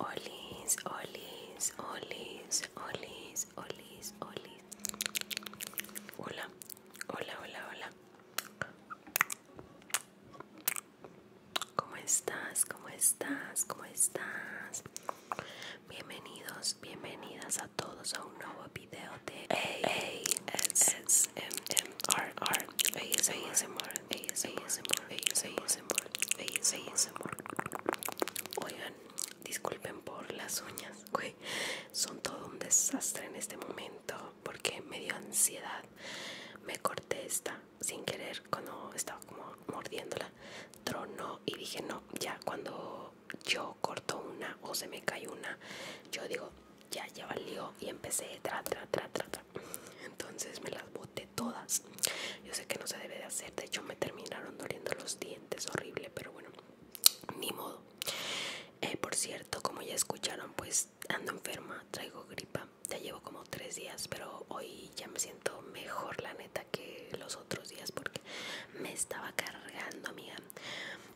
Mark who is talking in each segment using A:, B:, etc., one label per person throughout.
A: Olis, olis, Hola, hola, hola, hola. ¿Cómo estás? ¿Cómo estás? ¿Cómo estás? Bienvenidos, bienvenidas todos a un nuevo video de ASMR Oigan, disculpen por las uñas, Son todo un desastre en este momento porque me dio ansiedad. Me corté esta sin querer cuando estaba como mordiéndola. Tronó y dije, no, ya cuando yo corto una o se me cae una, yo digo, ya, ya valió y empecé Entonces me las boté todas. Yo sé que no se debe de hacer, de hecho me terminaron doliendo los dientes, horrible, pero bueno, ni modo. Eh, por cierto, como ya escucharon, pues ando enferma, traigo gripa, ya llevo como tres días, pero hoy ya me siento mejor, la neta, que los otros días porque me estaba cargando, amiga,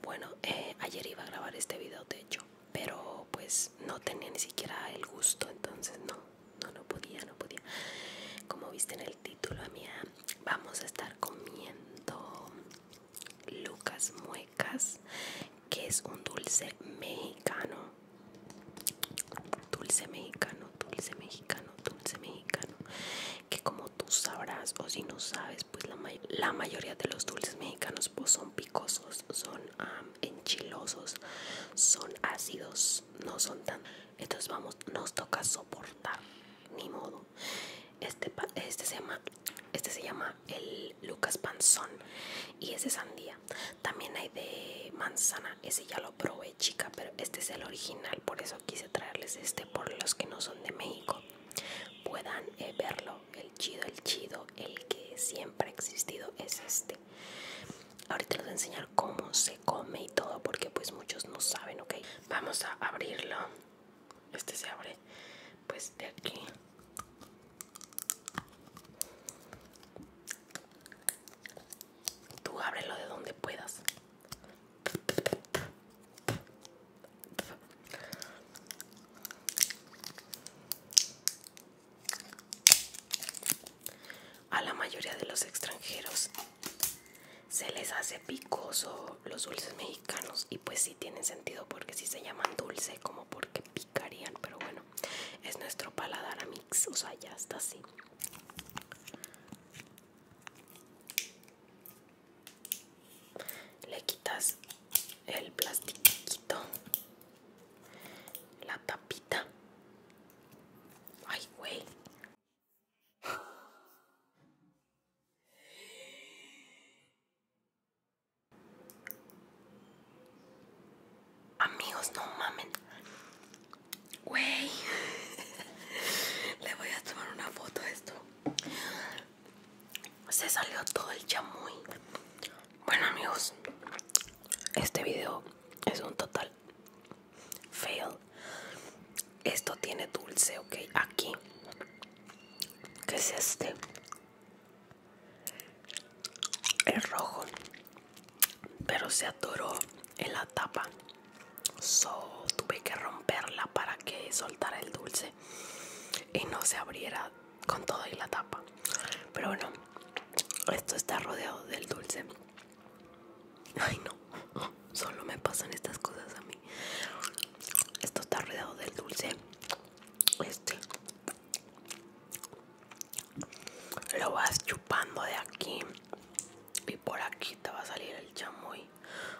A: bueno eh, ayer iba a grabar este video de hecho pero pues no tenía ni siquiera el gusto entonces no no no podía no podía como viste en el título amiga vamos a estar comiendo lucas muecas que es un dulce mexicano dulce mexicano dulce mexicano dulce mexicano que como tú sabrás o si no sabes pues la, mayoría de los dulces mexicanos pues son picosos son enchilosos son ácidos no son tan entonces vamos nos toca soportar ni modo este este se llama este se llama el Lucas Panzón y ese sandía también hay de manzana ese ya lo probé chica pero este es el original por eso quise traerles este por los que no son de México puedan eh, verlo el chido el chido el que siempre ha existido es este ahorita les voy a enseñar cómo se come y todo porque pues muchos no saben ok vamos a abrirlo este se abre pues de aquí tú ábrelo de donde puedas a la mayoría de los extranjeros se les hace picoso los dulces mexicanos y pues sí tienen sentido porque si se llaman dulce como porque picarían, pero bueno, es nuestro paladar a mix, o sea, ya está así le quitas el plastiquito la tapita ay güey amigos no mamen wey le voy a tomar una foto a esto. Se salió todo el chamuy Bueno, amigos, este video es un total fail. Esto tiene dulce, ok. Aquí, ¿qué es este? El rojo, pero se atoró en la tapa tuve que romperla para que soltara el dulce y no se abriera con todo y la tapa. Pero bueno, esto está rodeado del dulce. Ay no, solo me pasan estas cosas a mí. Esto está rodeado del dulce. Este lo vas chupando de aquí y por aquí te va a salir el chamoy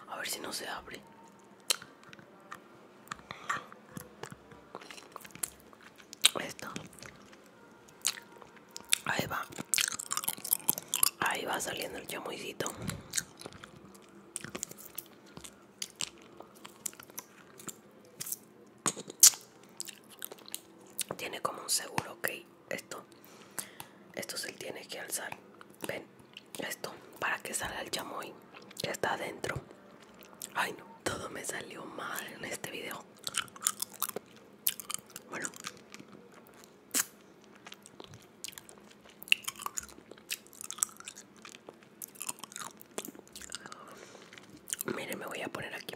A: a ver si no se abre esto ahí va ahí va saliendo el chamoycito tiene como un seguro ok esto esto se tiene que alzar ven esto para que salga el chamoy que está adentro ay no todo me salió mal en este video bueno Miren, me voy a poner aquí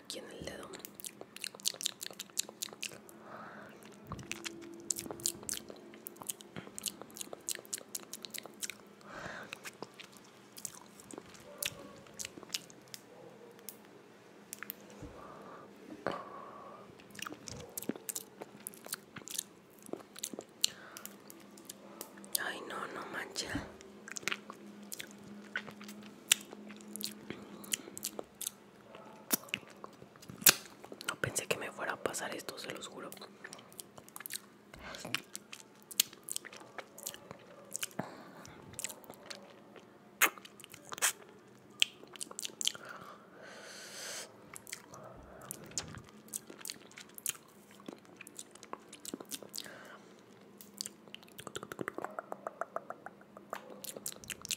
A: aquí en el dedo Ay, no, no mancha. No pensé que me fuera a pasar esto, se los juro.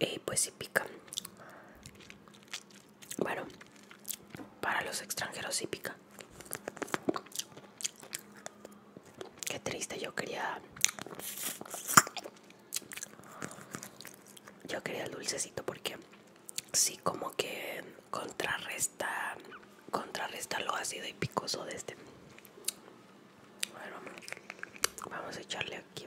A: Y pues sí pica. Bueno, para los extranjeros sí pica. Qué triste, yo quería... Yo quería el dulcecito porque sí como que contrarresta contrarresta lo ácido y picoso de este bueno vamos a echarle aquí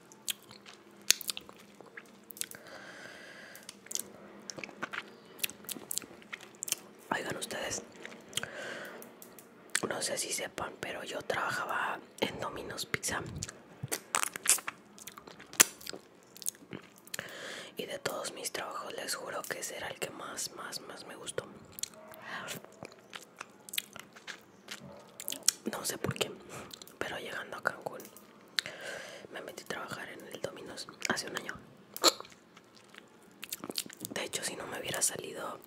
A: Oigan ustedes, no sé si sepan, pero yo trabajaba en Domino's Pizza. Y de todos mis trabajos les juro que ese era el que más, más, más me gustó. No sé por qué, pero llegando a Cancún me metí a trabajar en el Dominos hace un año. De hecho, si no me hubiera salido,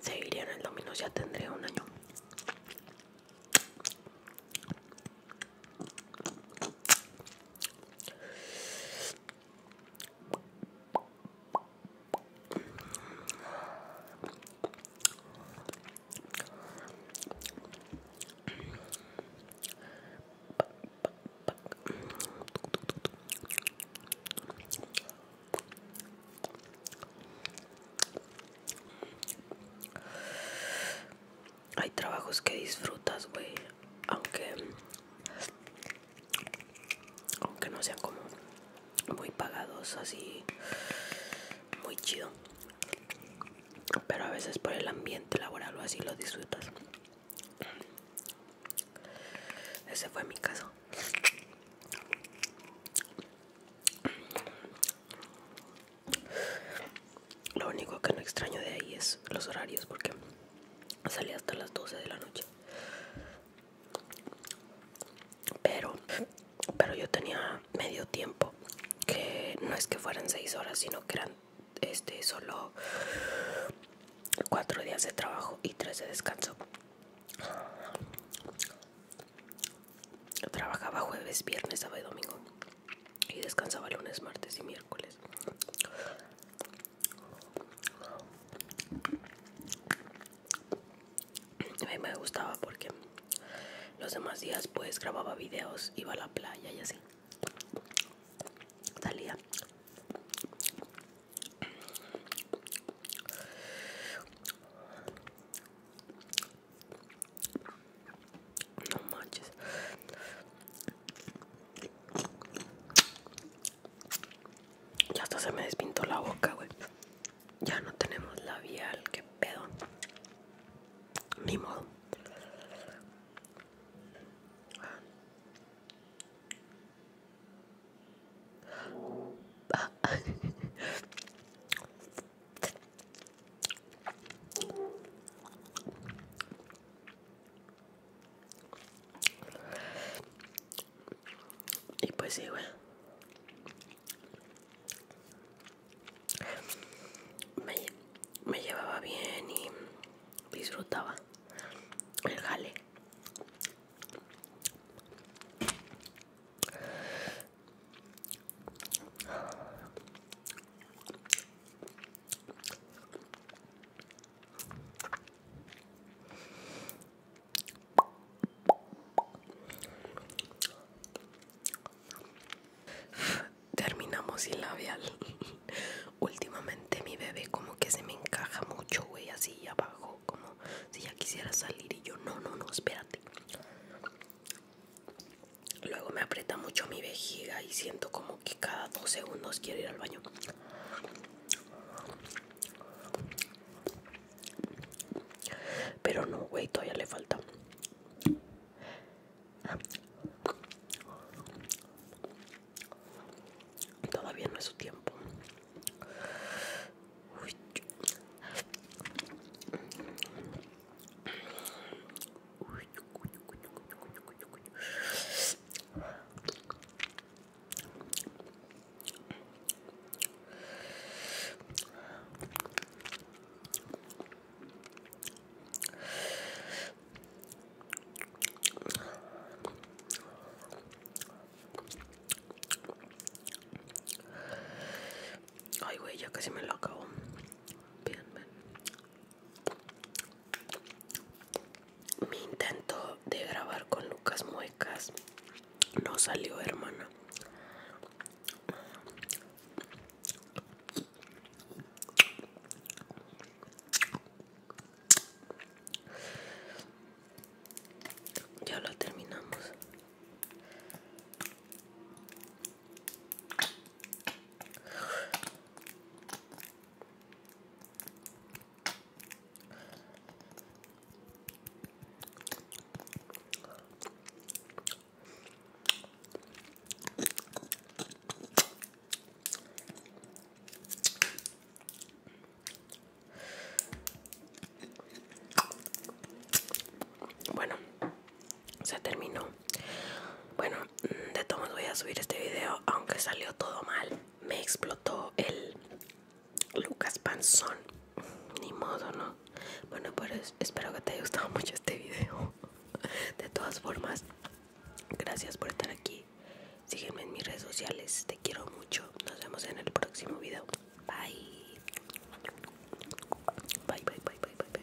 A: seguiría en el Dominos, ya tendría un año. Hay trabajos que disfrutas, güey, aunque aunque no sean como muy pagados, así muy chido. Pero a veces por el ambiente laboral o así lo disfrutas. Ese fue mi caso. Lo único que no extraño de ahí es los horarios porque salí hasta las 12 de la noche pero pero yo tenía medio tiempo que no es que fueran seis horas sino que eran este solo cuatro días de trabajo y tres de descanso yo trabajaba jueves viernes sábado y domingo y descansaba lunes martes y miércoles a mí me gustaba porque los demás días pues grababa videos, iba a la playa y así. Salía. No ya hasta se me despintó la boca, güey. Ya no tenemos labial, qué pedo. Ni modo. Y pues igual Me, llevaba bien y disfrutaba el jale. Terminamos sin labial. Últimamente mi bebé como que se me encaja mucho, güey, así abajo, como si ya quisiera salir y yo no, no, no, espérate. Luego me aprieta mucho mi vejiga y siento como que cada dos segundos quiero ir al baño. Pero no, güey, todavía le falta. Todavía no es su tiempo. Ay, güey, ya casi me lo acabo. Bien, bien. Mi intento de grabar con Lucas Muecas no salió, hermana. Ya lo terminamos. Bueno, se terminó. Bueno, mm, de todos modos voy a subir este video, aunque salió todo mal me explotó el Lucas Panzón. Ni modo, ¿no? Bueno, pues espero que te haya gustado mucho este video. De todas formas, gracias por estar aquí. Sígueme en mis redes sociales. Te quiero mucho. Nos vemos en el próximo video. Bye. Bye, bye, bye, bye, bye. bye.